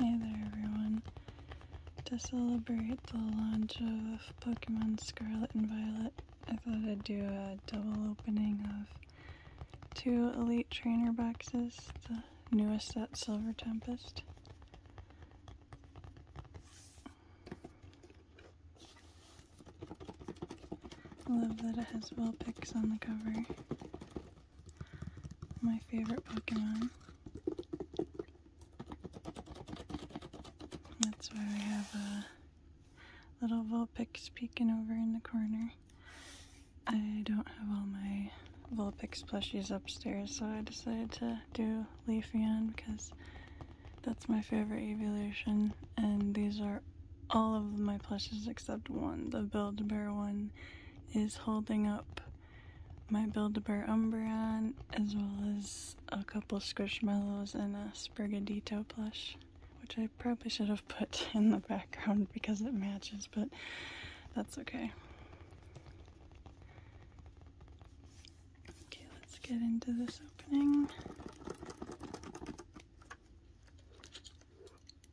Hey there everyone. To celebrate the launch of Pokemon Scarlet and Violet, I thought I'd do a double opening of two Elite Trainer boxes, the newest set, Silver Tempest. love that it has Vulpix on the cover my favorite Pokemon. That's why we have a little Vulpix peeking over in the corner. I don't have all my Vulpix plushies upstairs, so I decided to do Leafy on because that's my favorite evolution, and these are all of my plushies except one, the build bear one is holding up my Build-A-Bear Umbreon, as well as a couple Squishmallows and a Sprigadito plush, which I probably should have put in the background because it matches, but that's okay. Okay, let's get into this opening.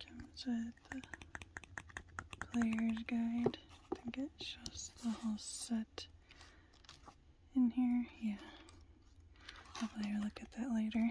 Comes with the player's guide. I think it shows the whole set in here. Yeah. I'll probably look at that later.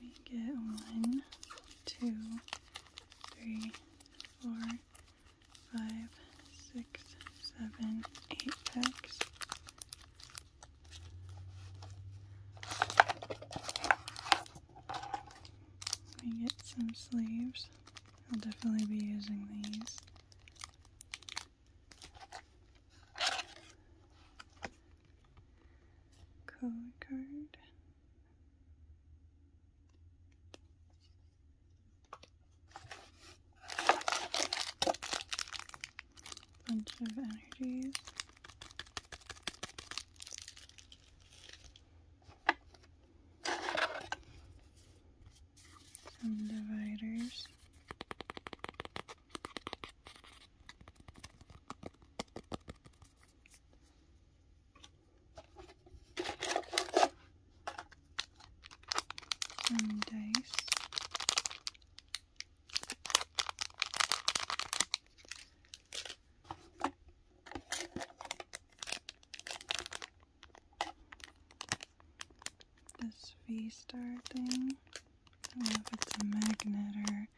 we get one, two, three, four, five, six, seven, eight packs. We get some sleeves. I'll definitely be using these. Code card. Bunch of energies. Some dividers. This V-star thing. I don't know if it's a magnet or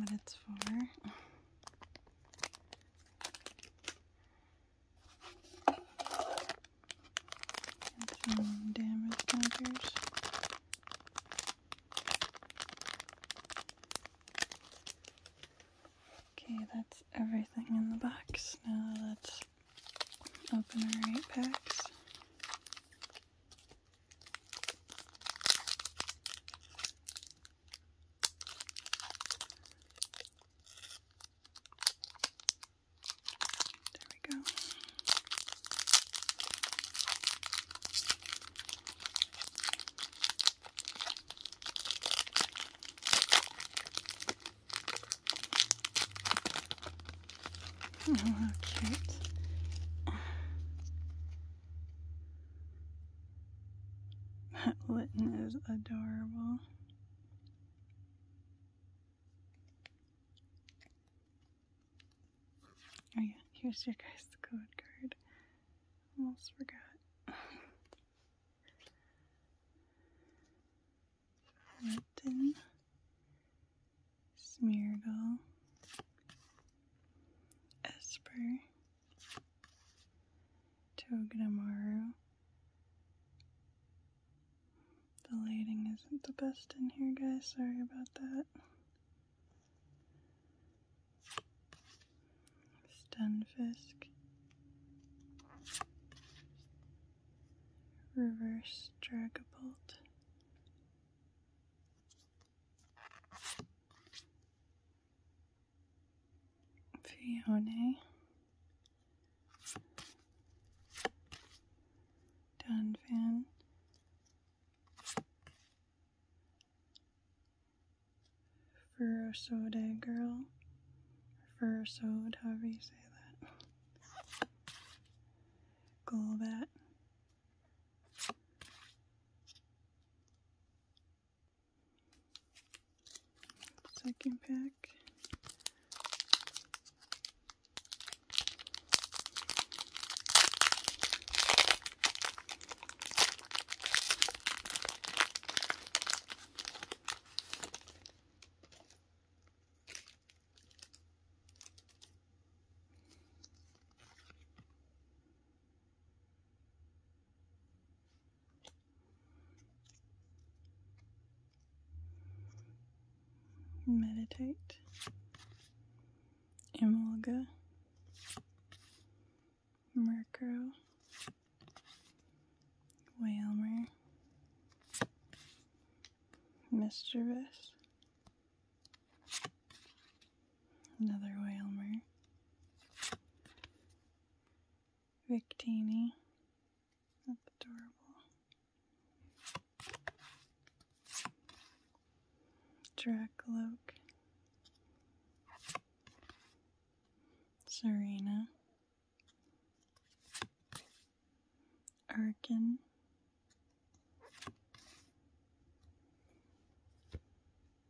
what it's for. damage markers. Okay, that's everything in the box. Now let's open our eight packs. There we go. Oh, how cute. That Litten is adorable. Oh yeah, here's your guys' the code card. Almost forgot. Litten, Smeargle, Esper. Togedemaru. The lighting isn't the best in here, guys. Sorry about that. Stunfisk. Reverse Dragapult. Fiona Dunfin Furosoda girl Furosoda, however you say that. Golbat Second pack. Meditate, Emolga, Mercur, Whalmer, Mischievous, Another Whalmer. Victini. That's adorable. Dracloak. Serena. Arkin.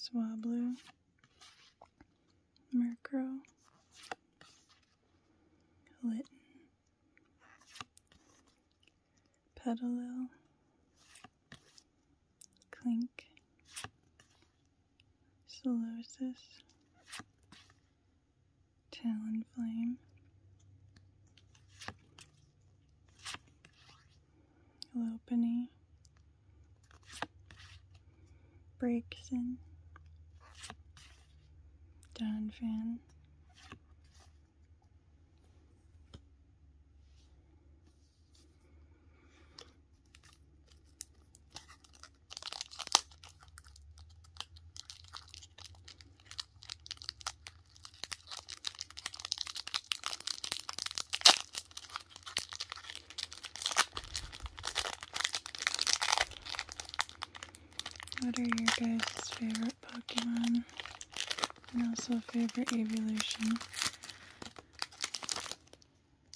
Swablu, Mercur, Litton, Petalil, Clink, Solosis, Talon Flame, Lopany, Brakeson, Donphan, what are your guys' favorite Pokemon? And also favorite evolution?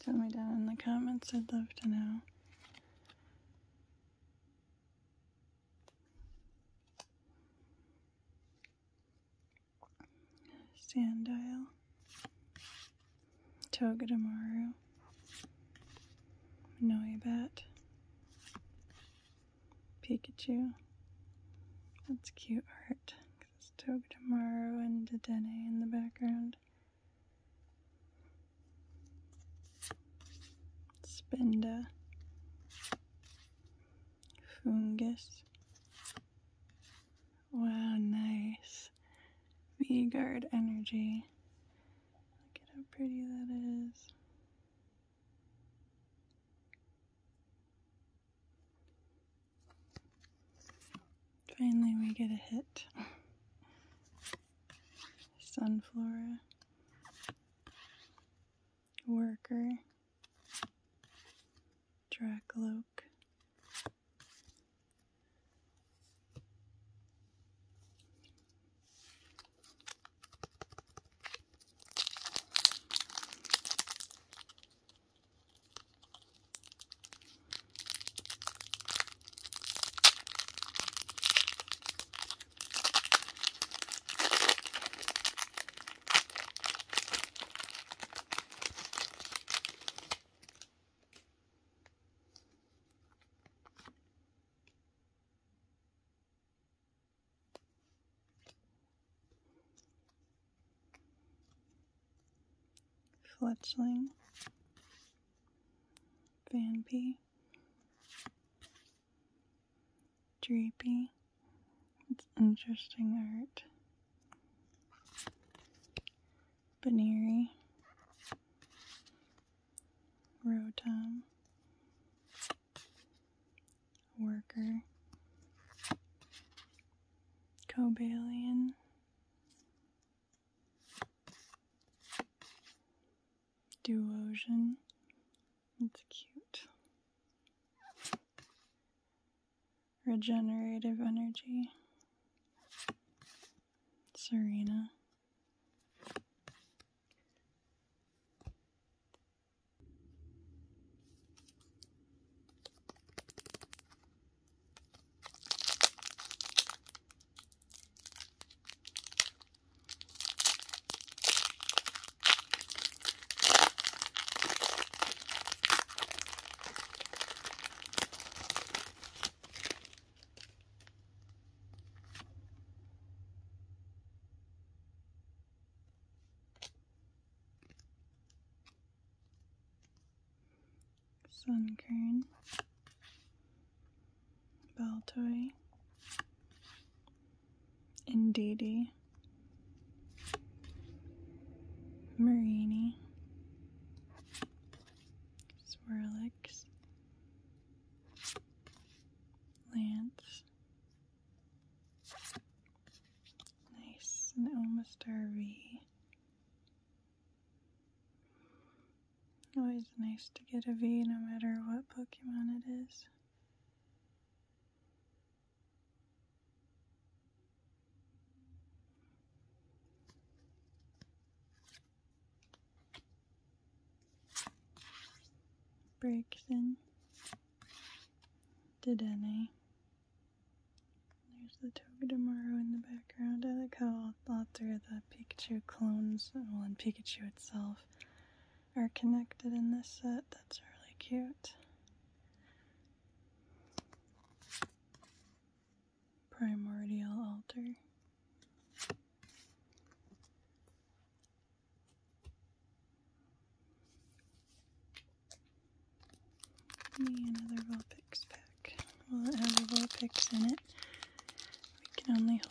Tell me down in the comments, I'd love to know. Sandile, Togedemaru, Noibat, Pikachu. That's cute art. It's Togedemaru and Dedenne in the background. Spinda, fungus. Wow, nice. v energy. Look at how pretty that is. Finally, we get a hit. Sunflora worker, Dracloak, Fletchling, Van P, drapey. It's interesting art. Baneri. Rotom. Worker. Cobalion. Duosian. It's cute. Regenerative energy. Serena. Sunkern, Baltoy, Indeedy, Marini, Swirlix, Lance. Nice, and almost RV. Always nice to get a V no matter what Pokemon it is. Brixton, Dedenne. There's the Togedemaru in the background. I like how all, all three the Pikachu clones, well, and Pikachu itself, are connected in this set. That's really cute. Primordial Altar. Me another Vulpix pack. Will have a in it? We can only hope.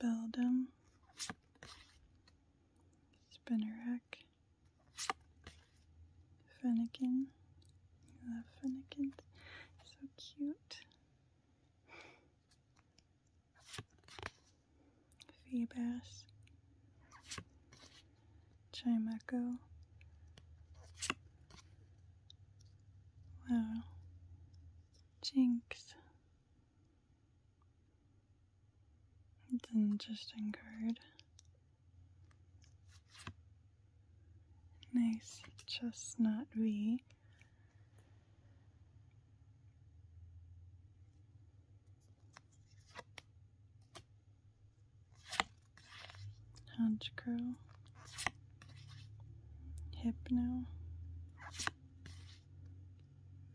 Beldum, Spinnerack, Fennekin. love Fennekin. So cute. Feebas, Chimeco. Wow. Jinx. It's an interesting card. Nice chestnut V. Hunch Crow. now.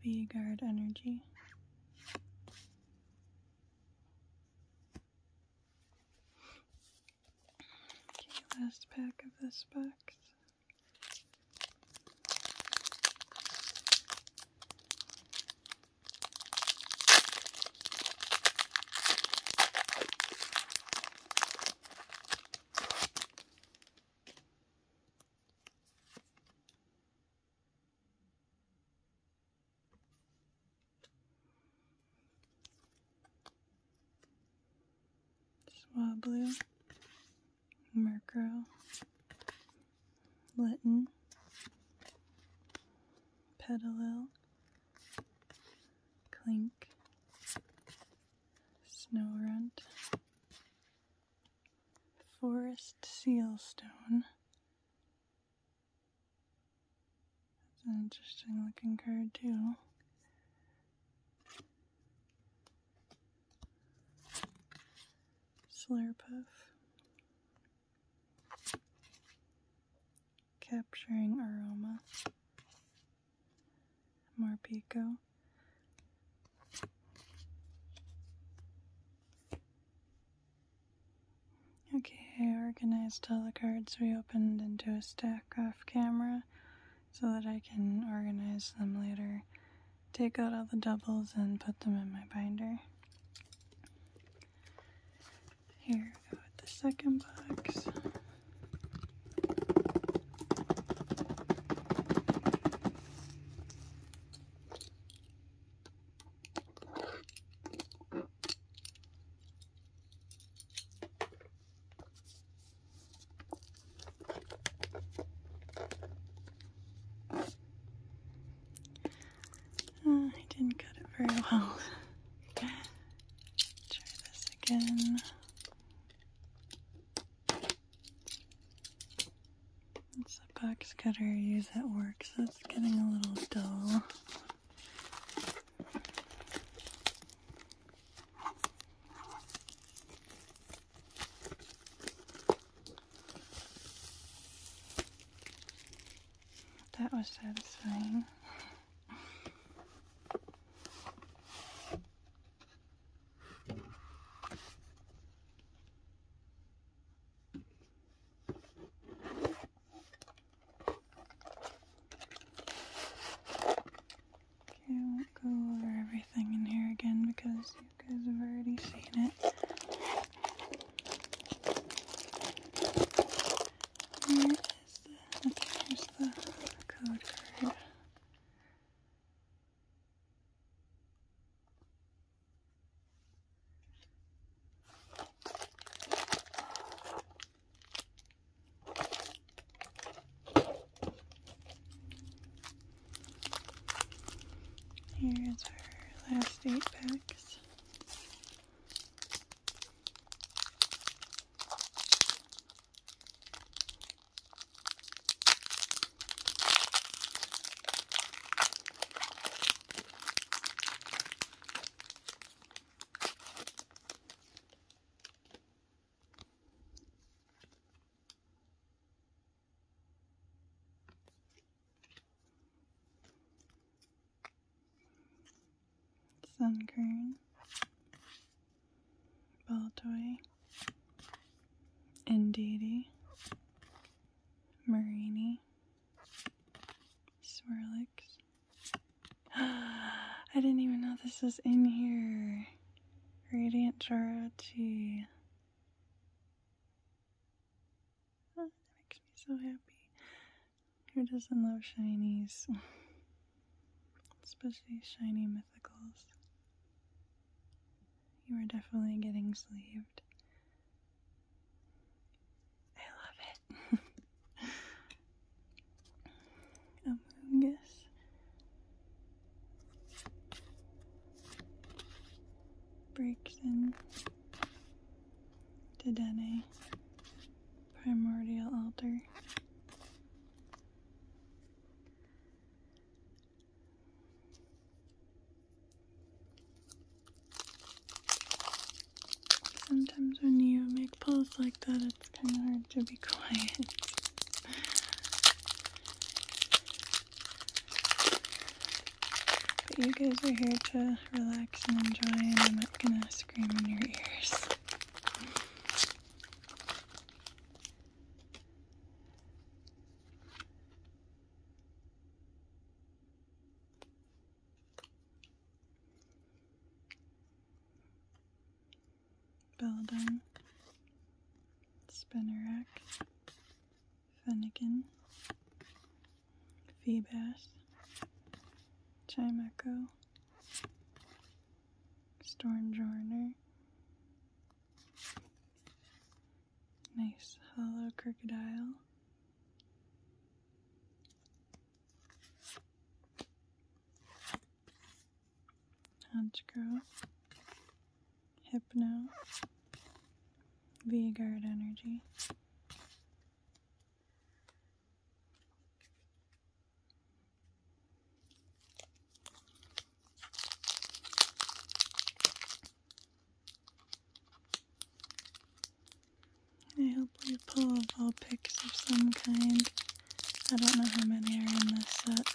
V guard energy. Okay, last pack of this box blue, Murkrow, Latin, Petalil, Clink, snow runt, forest sealstone. It's an interesting looking card too. Slurpuff. Capturing aroma more Pico. Okay, I organized all the cards we opened into a stack off camera so that I can organize them later. Take out all the doubles and put them in my binder. Here we go with the second box. Uh, oh, I didn't cut it very well. Try this again. It's a box cutter use at work, so it's getting a little dull. That was satisfying. Okay, I won't go over everything in here again because you guys have already seen it. Where is the, code here is our last eight packs. Sun Green. Baltoy, Indeedee, Marini, Swirlix. I didn't even know this was in here. Radiant Jirachi. Oh, that makes me so happy. Who doesn't love shinies? especially shiny mythicals. You are definitely getting sleeved. I love it. Among Us. Breaks in to Dene. Primordial Altar. Sometimes when you make pulls like that, it's kind of hard to be quiet. but you guys are here to relax and enjoy, and I'm not gonna scream in your ears. Belding, Spinnerack, Finnegan, Phibas, Chime Echo, Storm Jorner, Nice hello, crocodile. Hunchgrove. Hypno. V-Guard Energy. I hope we pull ball picks of some kind. I don't know how many are in this set.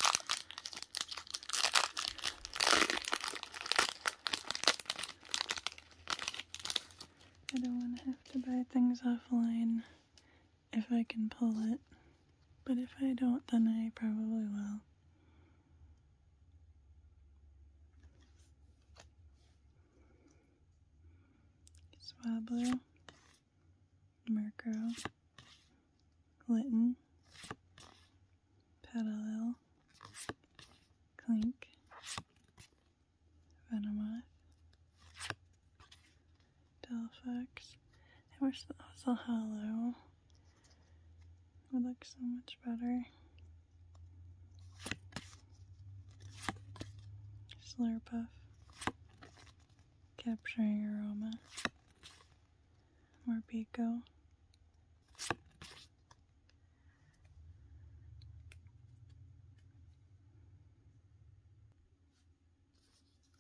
I don't want to have to buy things offline if I can pull it, but if I don't, then I probably will. Swablu, Merco, Glitten, Petalil, Clink, Venomoth, Delphics. I wish that was a halo. It would look so much better. Slurpuff. Capturing aroma. More Pico.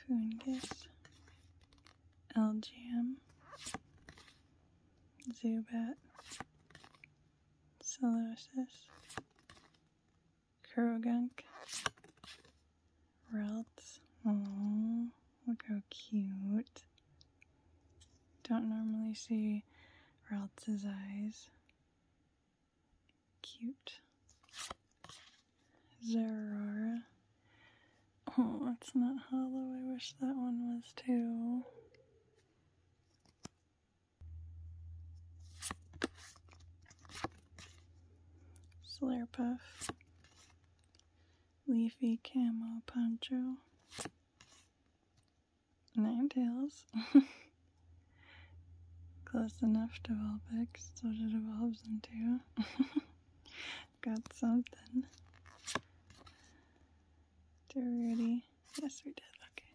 Fungus, LGM, Zubat, Celosis, Kurogunk. Relt. Oh, look how cute. Don't normally see Relt's eyes. Cute. Zerora. Oh, that's not hollow. I wish that one was too. Slurpuff, Leafy Camo Poncho, tails. Close enough to Vulpix, so it evolves into. Got something. Did we already? Yes, we did. Okay.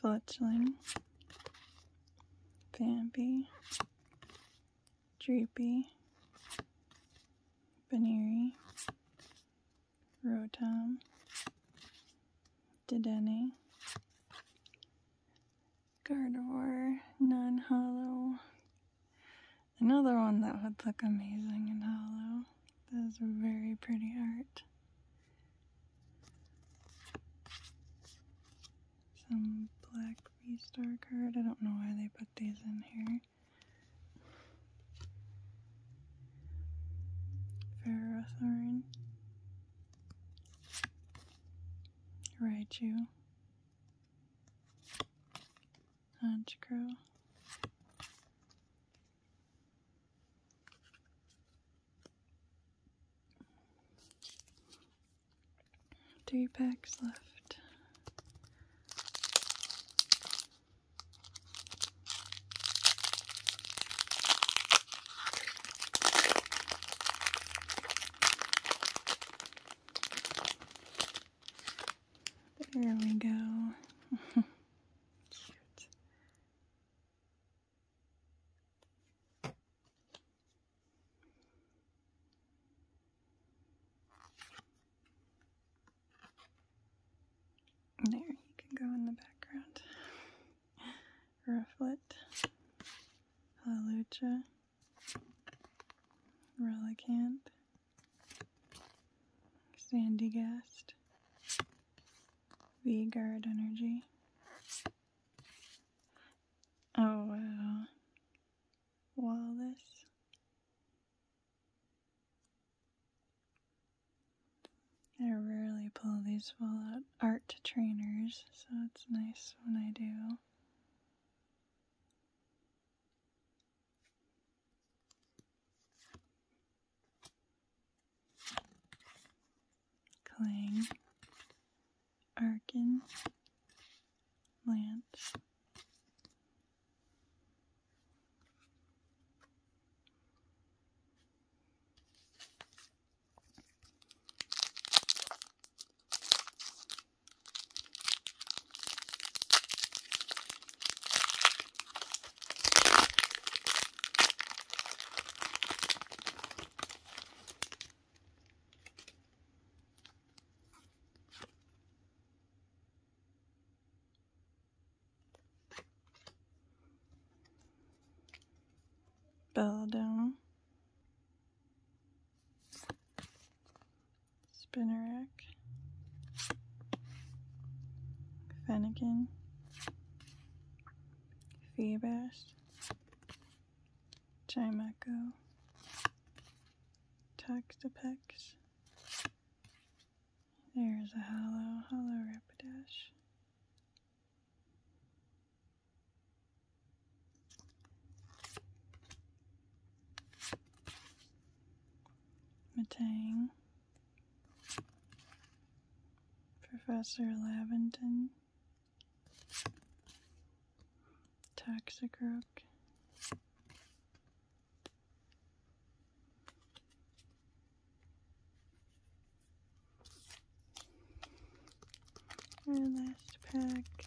Fledgling, Bambi, Dreepy, Baneri, Rotom, Dedenne, Gardevoir, Non-Hollow, Another one that would look amazing in hollow. That is very pretty art. Some black V-Star card. I don't know why they put these in here. Ferrothorn. Raichu. Hodge crow. Three packs left. There we go. There, you can go in the background. Rufflet. Hallelujah. Relicant, Sandy Gast, V Energy. Oh wow. Uh, Wallace. I rarely pull these Fallout art trainers, so it's nice when I do. Clang, Arkin, Lance, Belladonna. Spinnerack, Fennekin, Feebas, Chimaco, Toxapex. There's a hollow, hollow Rapidash. Matang, Professor Laventon, Toxic Rook, last pack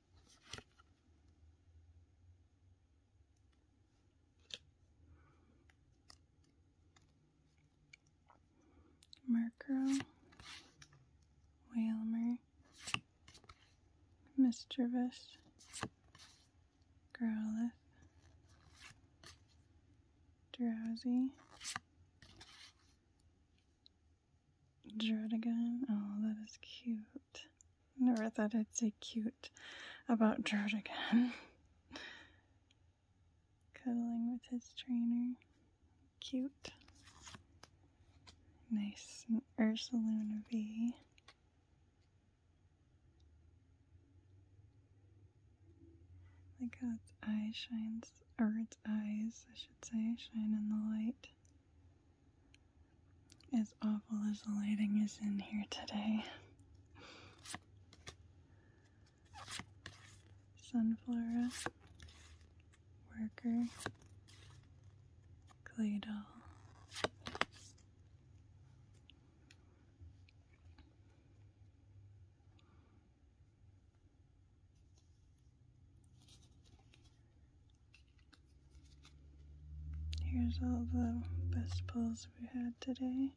Murkrow, Whalmer, Mischievous, Growlithe, Drowsy, Drudigon. Oh, that is cute. Never thought I'd say cute about Drew again. Cuddling with his trainer. Cute. Nice. And Ursaluna V. how its eye shines, or its eyes, I should say, shine in the light. As awful as the lighting is in here today, Sunflora, Worker, Claydol. Here's all the best pulls we had today.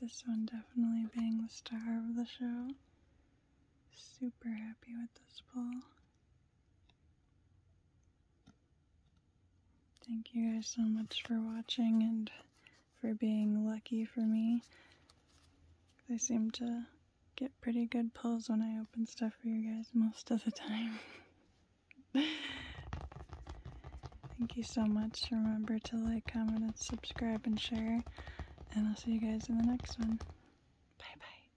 This one definitely being the star of the show. Super happy with this pull. Thank you guys so much for watching and for being lucky for me. I seem to get pretty good pulls when I open stuff for you guys most of the time. Thank you so much. Remember to like, comment, and subscribe and share. And I'll see you guys in the next one. Bye bye.